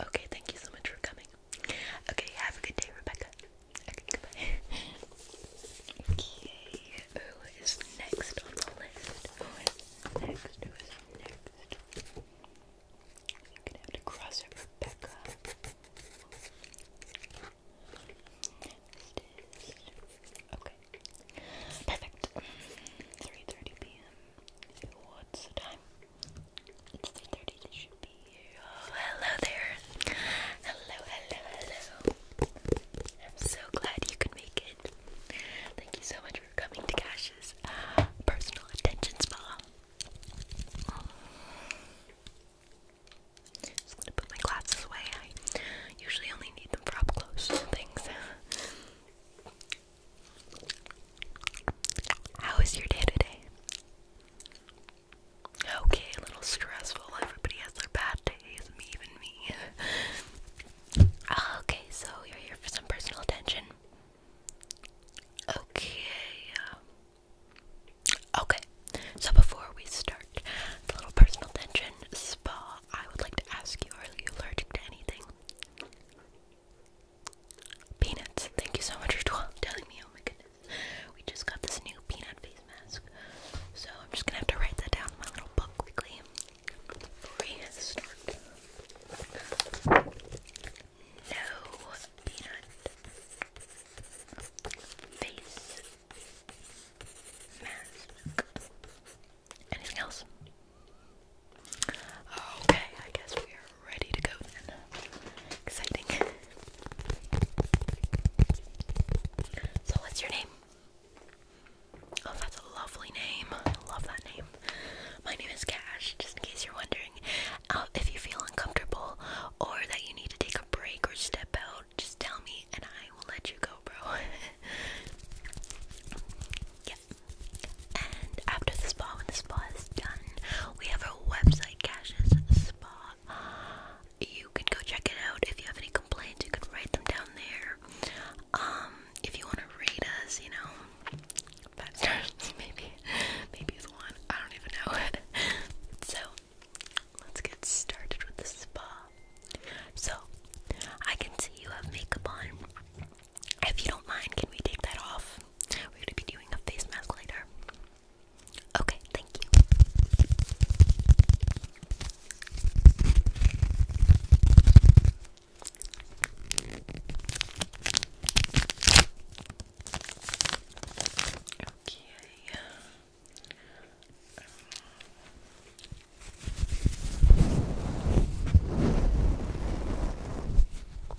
Okay, thank you so much for coming. Okay, have a good day, Rebecca. Okay, goodbye. Okay, who is next on the list? next? next? I'm gonna have to cross out Rebecca. Okay. Perfect. 3.30 p.m. What's the time? It's 3.30, this should be here. hello there. Hello, hello, hello. I'm so glad you could make it. Thank you so much for coming to Cash's uh, personal attention spa. Just gonna put my glasses away. I usually only need them for up close things. How was your day today? Okay, a little stressful. Everybody has their bad days, even me. Uh, okay, so you're here for some personal attention. Okay. Um, okay. So before we start the little personal attention spa, I would like to ask you, are you allergic to anything? Peanuts. Thank you so much for telling me. Oh my goodness. We just got this new peanut face mask. So I'm just gonna have to write that down in my little book quickly No peanut face mask. Anything else? Okay, I guess we are ready to go then. Exciting. So, what's your name? Oh, that's a lovely name. I love that name. My name is Cash, just in case you're wondering. Uh, if you feel uncomfortable or that you need to take a break or step out, just tell me and I will let you go, bro. yeah. And after the spa, when the spa is done, we have our website, Cash's Spa. You can go check it out. If you have any complaints, you can write them down there. Um, if you want to rate us, you know, maybe, maybe it's one. I don't even know. so, let's get started with the spa. So, I can see you have makeup on. If you don't mind, can we take that off? We're gonna be doing a face mask later. Okay, thank you. Okay. Um,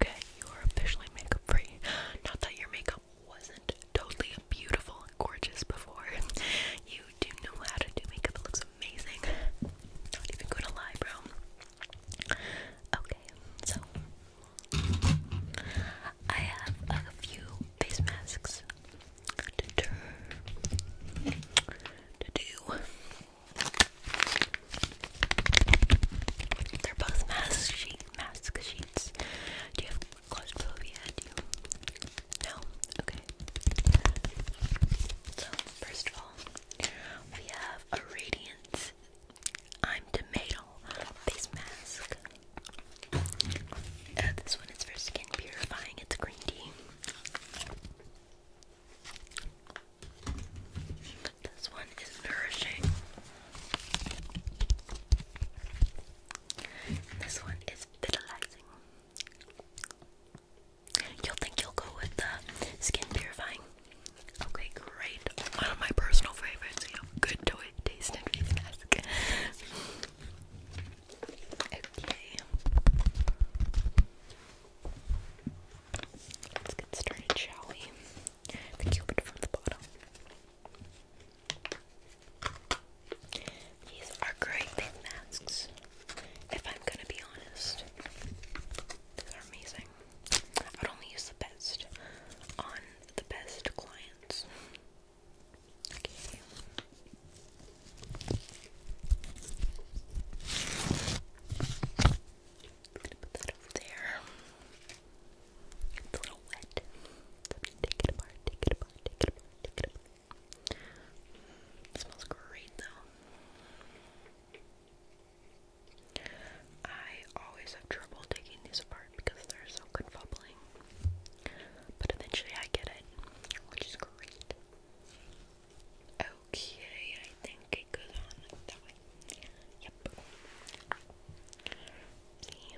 Okay, you are officially makeup free. Not that your makeup wasn't totally beautiful and gorgeous before. You do know how to do makeup, it looks amazing. Not even gonna lie, bro. Okay, so I have a few face masks to do. They're both mask sheets. Do you have claustrophobia? No. Okay. So first of all, we have a Radiant I'm Tomato face mask. Uh, this one is for skin purifying. It's green tea. This one is nourishing. This one is vitalizing. You'll think you'll go with the skin purifying. Okay, great. One of my personal favorites. good to it, face mask. okay. Let's get started, shall we? The cupid from the bottom. These are great big masks. If I'm gonna be honest, these are amazing. I would only use the best on the best clients. Okay. put that over there. It's a little wet. take it apart, take it apart, take it apart, take it apart. smells great though. I always have trouble taking these apart because they're so good fumbling, But eventually I get it, which is great. Okay, I think it on that way. Yep. See?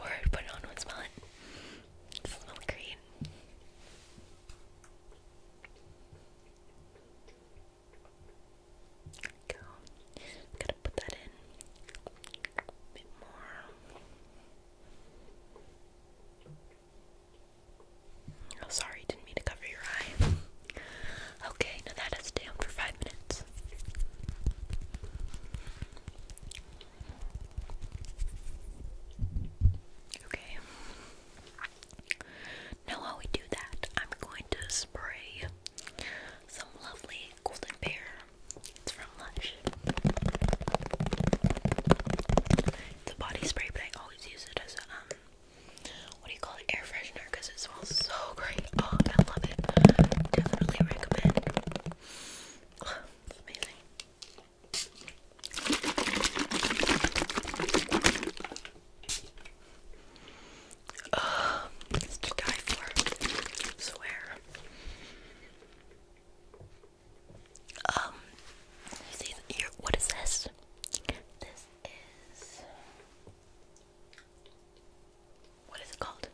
Word put it on, would smell it. smells great. Go. Gotta put that in a bit more. Oh, sorry, didn't mean to cover your eye. Okay, now that is down for five minutes. Okay. Now while we do that, I'm going to spray some lovely golden pear. It's from Lush. It's a body spray, but I always use it as a um what do you call it? Air freshener because it smells so great. Oh, I love it. Definitely recommend. amazing. Uh, um, it's to die for. swear. Um, What is this? This is. What is it called?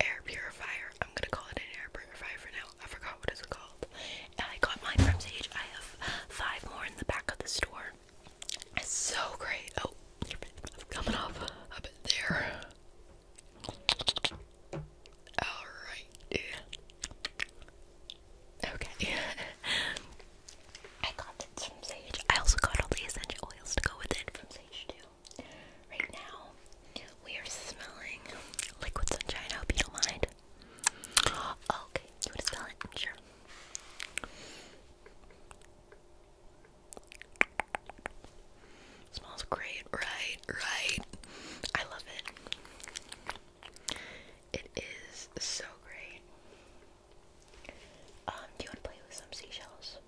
Air purifier. I'm gonna call it an air purifier for I forgot what it's called. I got mine from Sage. I have five more in the back of the store. It's so great. Oh, it's coming off a bit there. Alright. Okay. I got this from Sage. I also got all the essential oils to go with it from Sage too. Right now, we are smelling liquid sunshine. I hope you don't mind. Okay, you want to spell it? Sure. Smells great, right? Right? I love it. It is so great. Um, do you want to play with some seashells?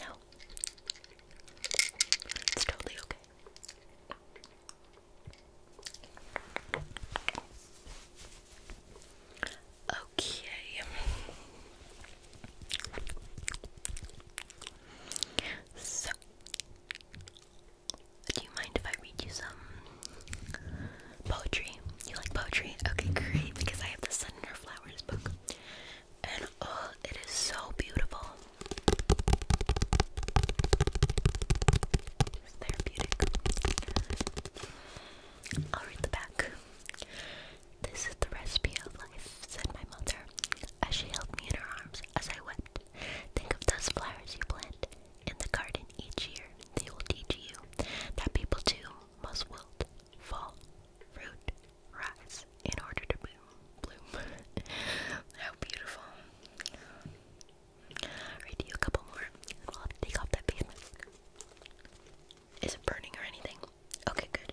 No. It's totally okay. Okay. So, do you mind if I read you some poetry? You like poetry? Okay, great, because I have the Sun and Her Flowers book. And oh, it is so beautiful therapeutic. I'll read the back. This is the recipe of life, said my mother, as she held me in her arms as I wept. Think of those flowers you plant in the garden each year. They will teach you that people too must wilt, fall, fruit, rise, in order to bloom. Bloom. How beautiful. Alright, do you a couple more, and will take off that face mask. Is it burning or anything? Okay, good.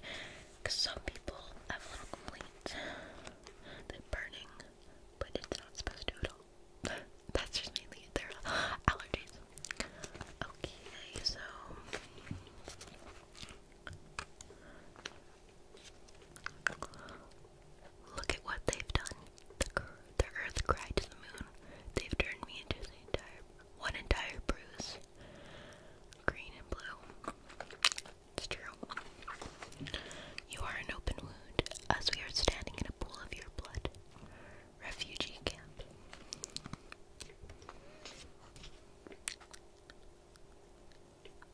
Because some people have little complaint that burning, but it's not supposed to at all. That's just mainly their allergies. Okay, so Look at what they've done. The, earth cried to the moon. They've turned me into one entire bruise. Green and blue. It's true. You are an open wound, as we are standing in a pool of your blood. Refugee camp.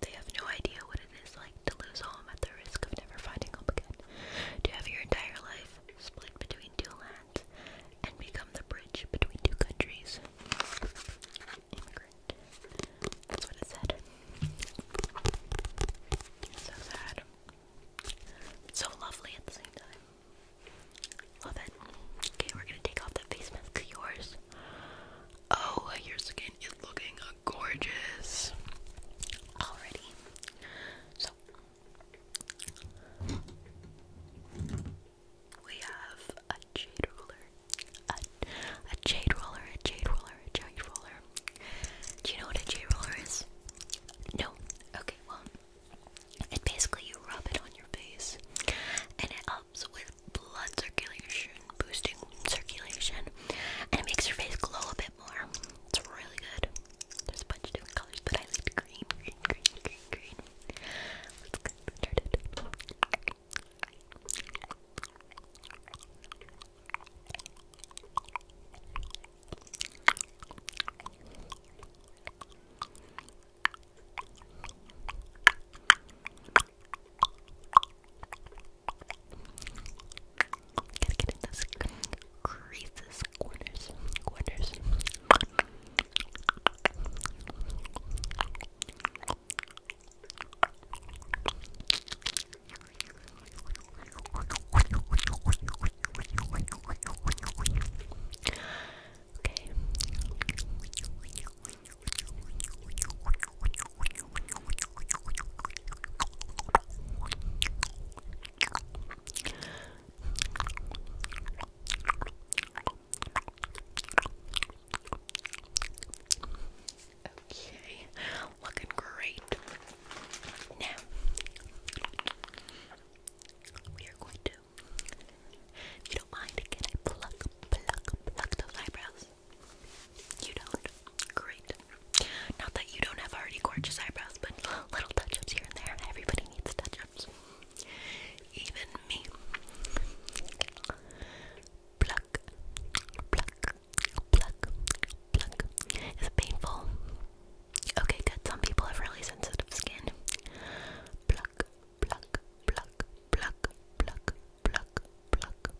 They have no idea what it is like to lose home at the risk of never finding home again, to have your entire life split between two lands and become the bridge between two countries. Immigrant. That's what it said. So sad. So lovely at the same time. Love it. Okay, we're gonna take off that face mask yours. Oh, your skin is looking gorgeous. Already. So we have a jade roller. A, jade roller, a jade roller, a jade roller. Do you know what a jade roller is? No. Okay, well, it basically you rub it on your face and it helps with blood circulation, boosting circulation, and it makes your face glow a bit more. It's really good. There's a bunch of colors, but I like green, green, green, green, green. Let's get started. Gotta those creases, corners, corners. Okay. Okay, looking great. Now we are going to, if you don't mind, can I pluck, pluck, pluck those eyebrows? You don't? Great. Not that you don't have already gorgeous eyebrows, but little touch ups here and there. Everybody needs touch ups. Even me. Pluck, pluck, pluck, pluck. Is painful? Okay, good. Some people have really sensitive skin. Pluck, pluck, pluck, pluck, pluck, pluck, pluck,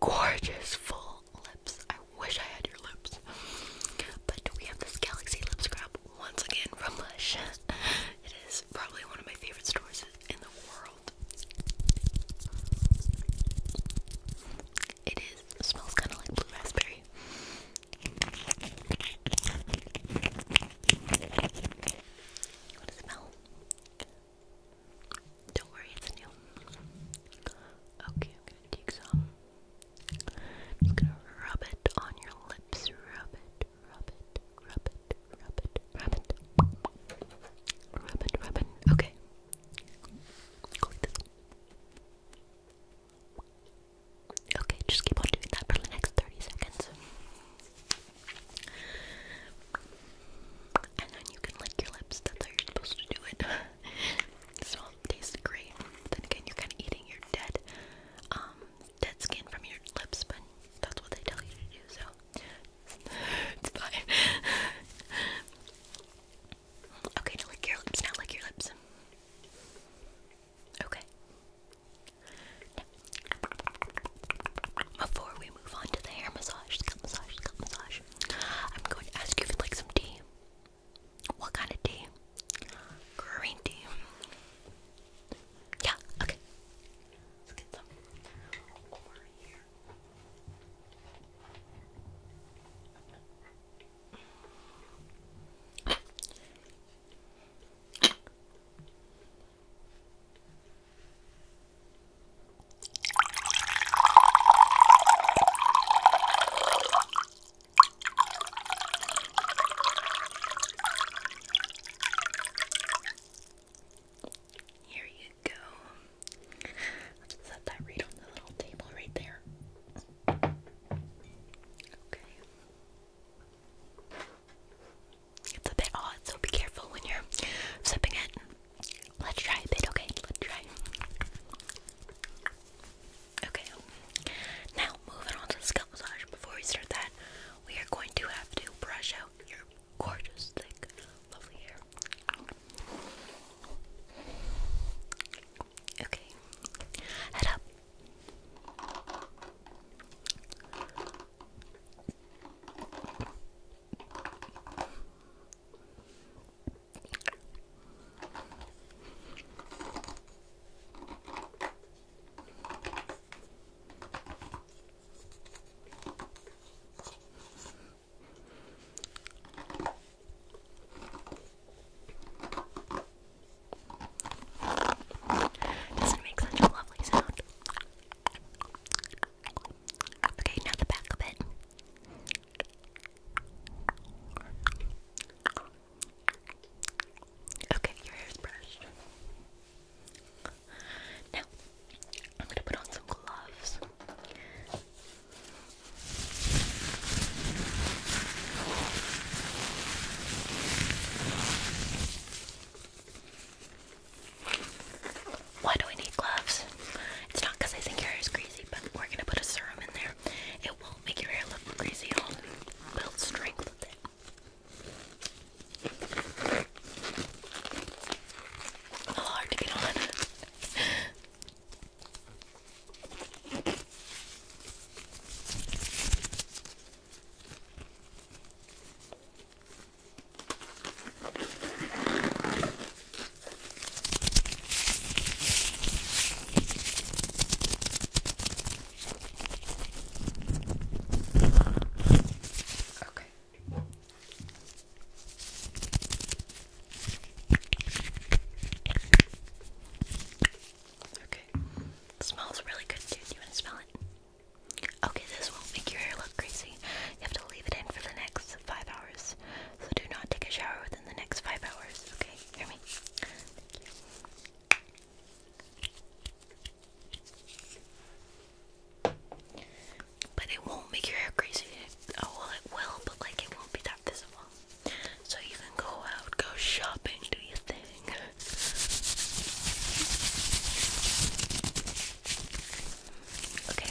gorgeous full lips. I wish I had your lips. But we have this Galaxy Lip Scrub once again from Lush. It is probably one of my favorite stores in the world. It is smells kind of like blue raspberry. What does smell? Don't worry, it's new. Okay, take some. I'm gonna rub it on your lips. Rub it, rub it, rub it, rub it, rub it. Rub it, rub it. Okay. Okay, just keep on doing that for the next 30 seconds. And then you can lick your lips, that's how you're supposed to do it. so it tastes great. Then again, you're kind of eating your dead, um, dead skin from your lips, but that's what they tell you to do, so it's fine. okay, now lick your lips. Now lick your lips. Okay. before we move on to the hair massage, scalp massage, scalp massage. I'm going to ask you if you'd like some tea. What kind of tea? Green tea. Yeah, okay. Let's get some over here. Here you go. Let's set that right on the little table right there. Okay. It's a bit odd, so be careful when you're sipping it. Let's try a bit, okay? Let's try. Okay, now moving on to scalp massage. Before we start that, we are going to have to brush out your gorgeous, thick, lovely hair. Okay, head up. Doesn't make such a lovely sound. Okay, now the back of it. Okay, your hair's brushed. Now, I'm gonna put on some gloves. Why do we need gloves? It's not because I think your hair is crazy, but we're gonna put a serum in there. It won't make your hair look crazy. It'll Build strength with it. hard to get on. Okay. Okay. smells really good too. you want to smell it? Okay, this won't make your hair look crazy. You have to leave it in for the next five hours. So do not take a shower within the next five hours. Okay, hear me. But it won't make your hair crazy. Oh it will, but like it won't be that visible. So you can go out, go shopping, do your thing. Okay.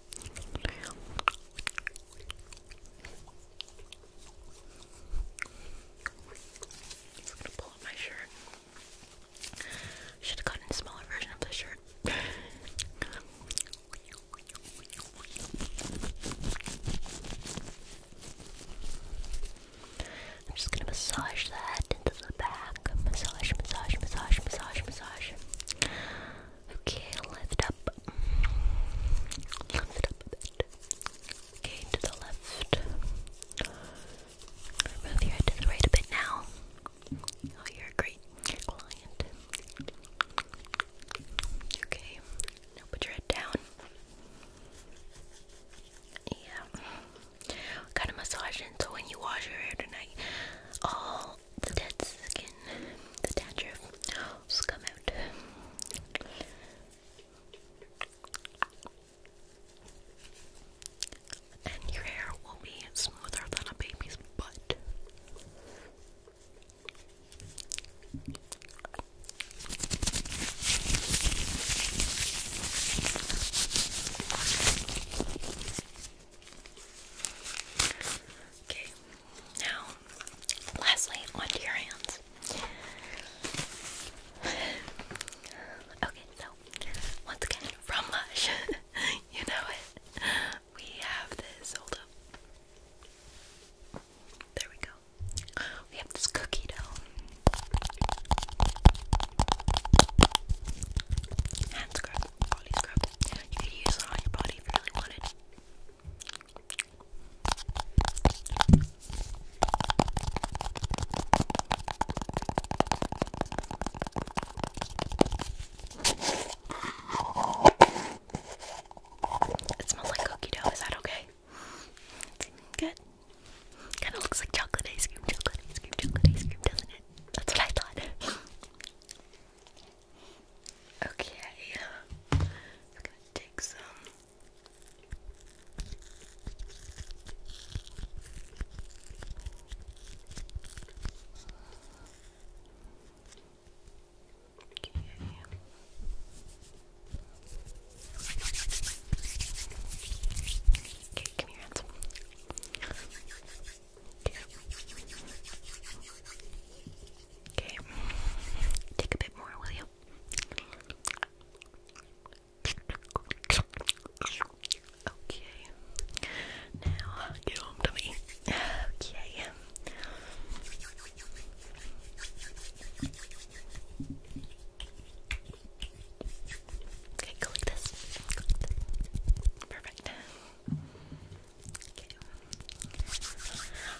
Just gonna pull my shirt. Should have gotten a smaller version of this shirt. I'm just gonna massage that into the back. Massage, massage, massage, massage, massage. Okay, lift up. Lift up a bit. Okay, to the left. Move your head to the right a bit now. Oh, you're a great client. Okay, put your head down. Yeah. Got a massage in, so when you wash your hair tonight, all the dead skin, the dandruff will come out. And your hair will be smoother than a baby's butt. Okay, now, lastly, onto your hands. Okay, so, once again, from Lush, you know it, we have this, hold up, there we go, we have this cookie dough. Hand scrub, body scrub, you could use it on your body. It smells like cookie dough, is that okay? Good. Kinda looks like chocolate ice cream, chocolate ice cream, chocolate ice cream, doesn't it? That's what I thought. Okay, I'm uh, gonna take some. Okay. Okay, give me your Okay. Take a bit more, will Okay. Now get home to me. Okay. Okay, Perfect.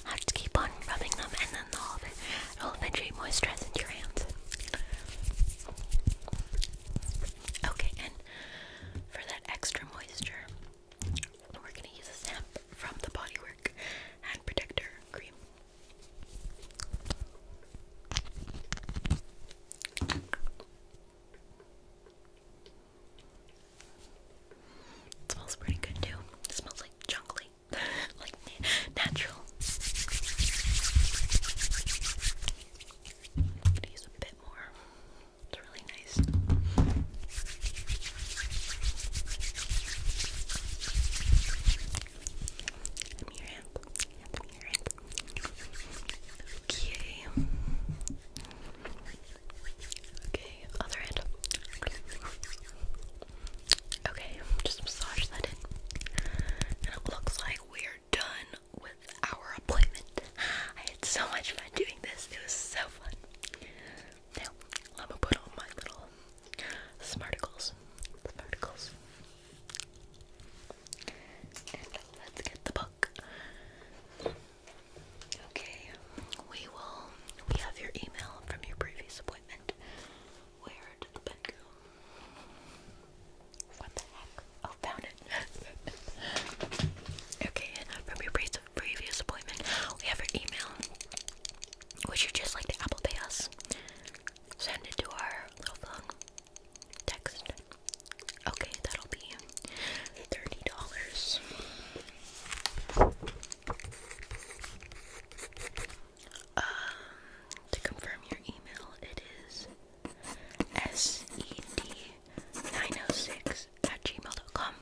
I have to keep on rubbing them and then they'll, it'll eventually moisturize into your hands. Okay, and for that extra moisture, we're going to use a stamp from the Bodywork Hand Protector Cream. It smells pretty good too. It smells like chocolate, like natural. i use a bit more. It's really nice. Give me hand. Give me hand. Okay. Okay, other end. Okay, just massage that in. And it looks like we're done with our appointment. I had so much fun doing this. It was so fun. Now, let me put on my little smarticles. Smarticles. And let's get the book. Okay, we will. We have your email from your previous appointment. Where did the pen go? What the heck? Oh, found it. okay, uh, from your pre previous appointment, we have your email. Would you just like to Apple Pay us? Send it to our little phone text. Okay, that'll be thirty dollars. Um, to confirm your email, it is sed906 at gmail.com.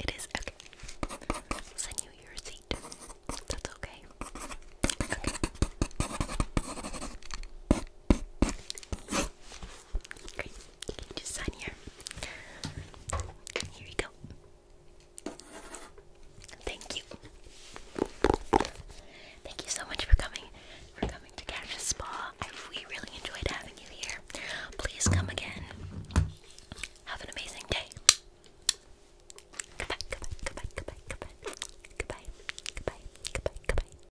It is okay. send you your receipt. That's Okay just sign here. Here you go. Thank you. Thank you so much for coming. For coming to Cactus Spa. I, we really enjoyed having you here. Please come again. Have an amazing day. Goodbye, goodbye, goodbye, goodbye, goodbye. Goodbye, goodbye, goodbye,